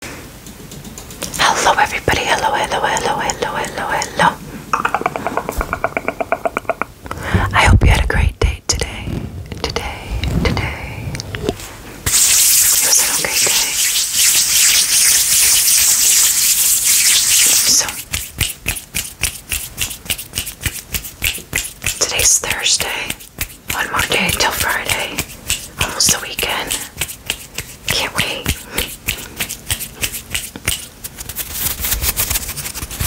Hello, everybody. Hello, hello, hello, hello, hello, hello. I hope you had a great day today. Today, today. It was an okay day. So, today's Thursday. One more day till Friday. Almost the weekend. Can't wait.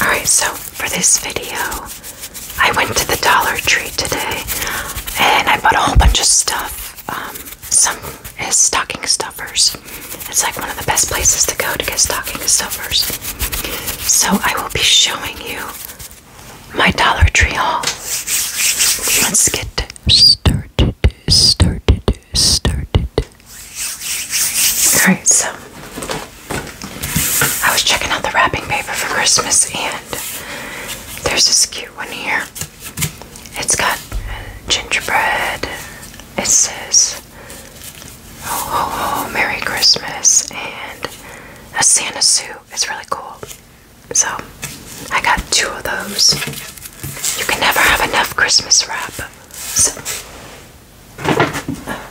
Alright, so for this video, I went to the Dollar Tree today and I bought a whole bunch of stuff. Um, some is stocking stuffers. It's like one of the best places to go to get stocking stuffers. So I will be showing you my Dollar Tree haul. Let's get started, started, started. Alright, so I was checking out the wrapping paper for Christmas and there's this cute one here. It's got gingerbread. It says, oh, Ho, ho, ho, Merry Christmas, and a Santa suit. It's really cool. So I got two of those. You can never have enough Christmas wrap. So,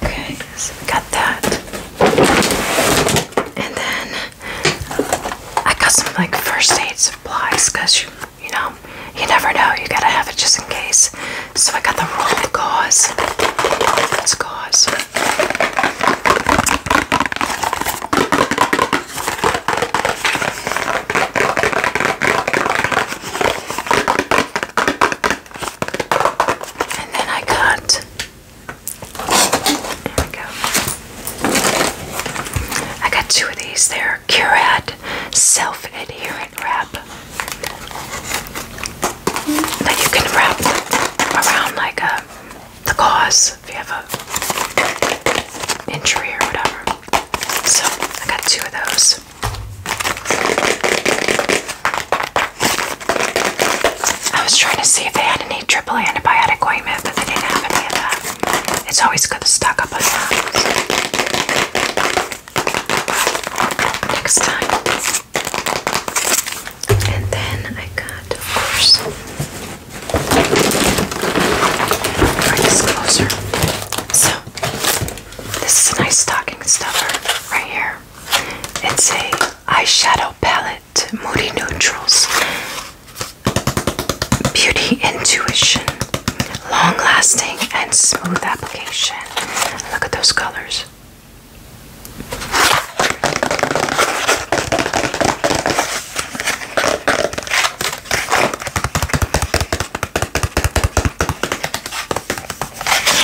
okay, so we got that. And then I got some like first aid supplies because you you know, you never know, you gotta have it just in case. So I got the roll of gauze. gauze. And then I got there we go. I got two of these. They're Curad self-adherent wrap that you can wrap around like a uh, the gauze if you have a injury or whatever. So I got two of those. I was trying to see if they had any triple antibiotic ointment, but they didn't have any of that. It's always good to stock up on that next time. And then I got, of course, Bring this closer. So, this is a nice stocking stuffer right here. It's a eyeshadow palette, Moody Neutrals, Beauty Intuition, Long Lasting and Smooth Application. Look at those colors.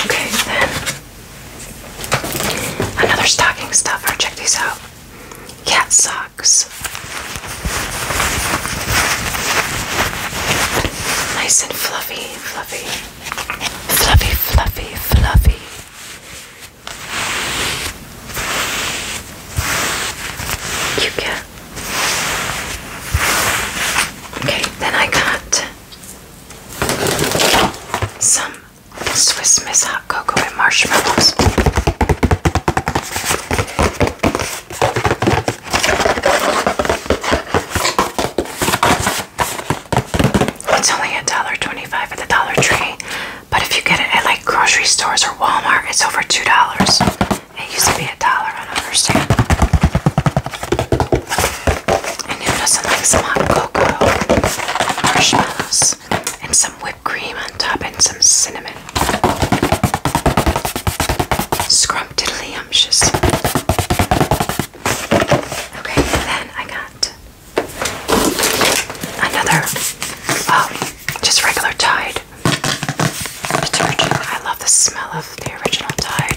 Okay, then another stocking stuffer. Check these out. Cat socks. Nice and fluffy, fluffy, fluffy, fluffy, fluffy. You can. Okay, then I got some Swiss Miss hot cocoa and marshmallows. It's only a dollar twenty-five at the Dollar Tree, but if you get it at like grocery stores or Walmart, it's over two dollars. It used to be a dollar. I don't understand. And who doesn't some hot cocoa, marshmallows, and some whipped cream on top, and some cinnamon? Scrumptiddlyumptious. Okay, then I got Another, oh, just regular Tide detergent. I love the smell of the original Tide.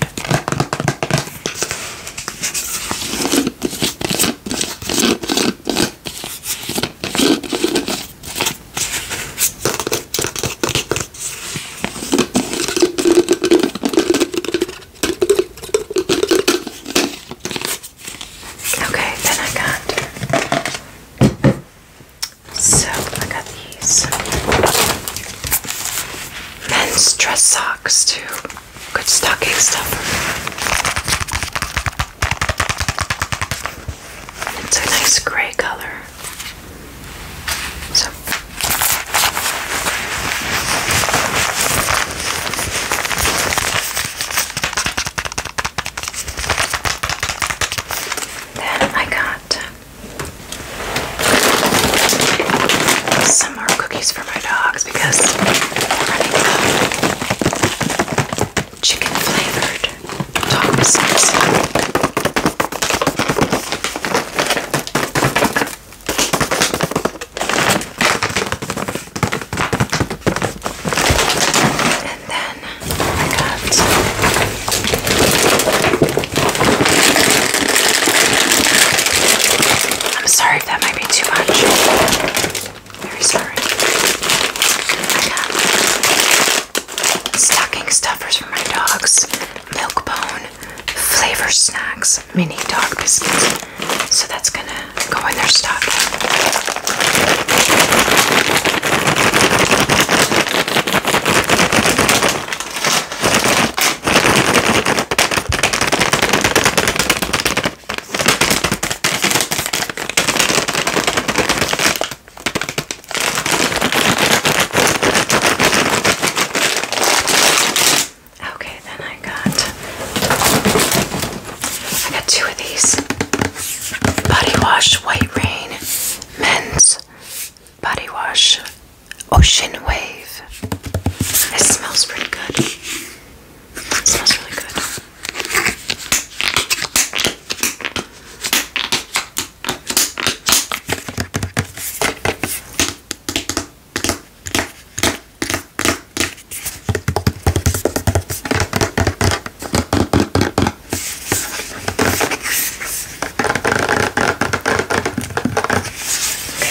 Okay, then I got so I got these men's dress socks too. Good stocking stuffer. It's a nice gray color. So then I got some more cookies for my dogs because chicken flavored dog biscuits. And then I got I'm sorry if that might be too much. Very sorry. I got stocking stuffers for my dogs, milk bone, Flavor Snacks mini dog biscuits. So that's going to go in their stocking. Okay, then I got I got two of these. Body wash white rain men's body wash ocean wave. It smells pretty good. It smells really good.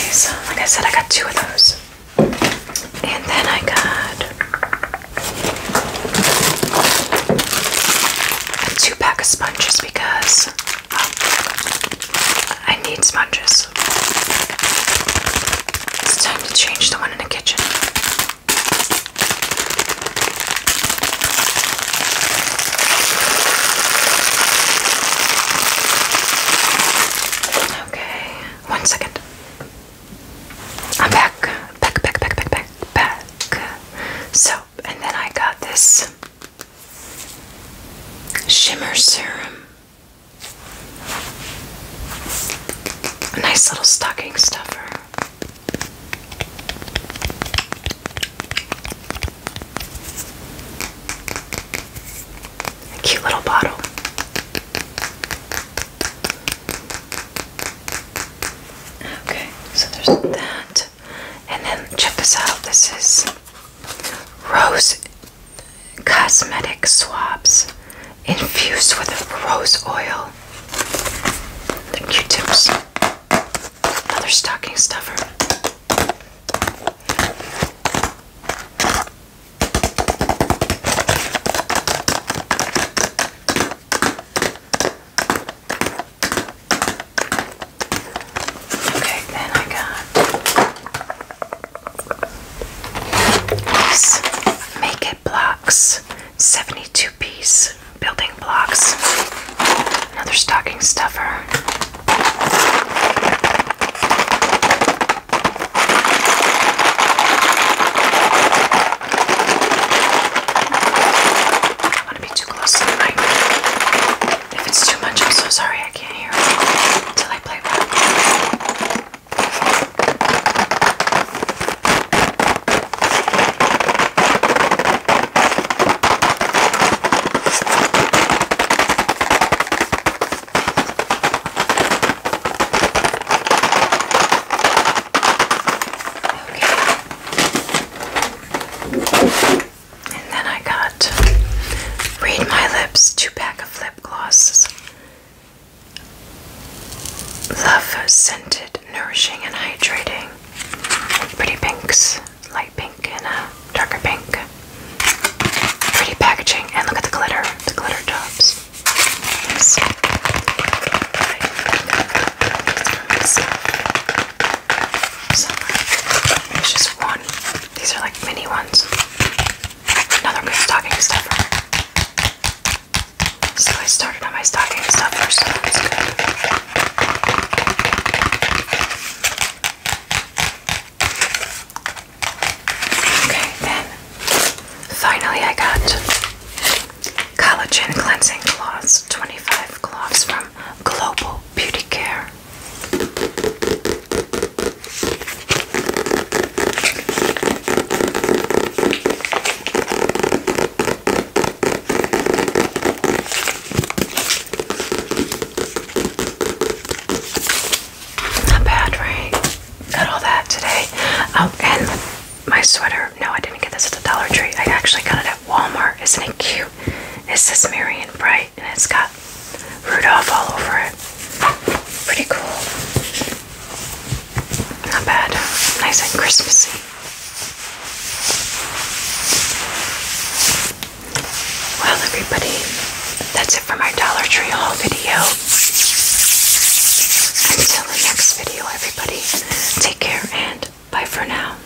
Okay, so like I said, I got two of those. And then I got a two pack of sponges because um, I need sponges. It's time to change the one in the kitchen. Okay, one second. I'm Back, back, back, back, back, back. So, and then I got this shimmer serum. A nice little stocking stuffer. A cute little bottle. Okay, so there's that. And then check this out. This is Rose cosmetic swabs infused with rose oil. The Q-tips. Another stocking stuffer. Okay, then I got these make it blocks, 72 piece building blocks, another stocking stuffer. I don't to be too close to if it's too much, I'm so sorry I can't hear until I play Okay. And then I got Read My Lips, two pack of lip glosses. Love Scented, Nourishing and Hydrating. Pretty pinks, light pink and a darker pink. Pretty packaging, and look at the glitter, the glitter tops. Summer. There's just one. These are like mini ones. Another good stocking stuffer. So I started on my stocking stuffer, so Okay, then finally I got collagen cleansing cloths, 25 cloths from Global Beauty Care. Not bad, right? Got all that today. Oh, and my sweater. No, I didn't get this at the Dollar Tree. I actually got it at Walmart. Isn't it cute? It says Marion Bright and it's got Rudolph all over it. Pretty cool. Not bad. Nice and Christmassy. Well, everybody, that's it for my Dollar Tree haul video. Until the next video, everybody, take care and bye for now.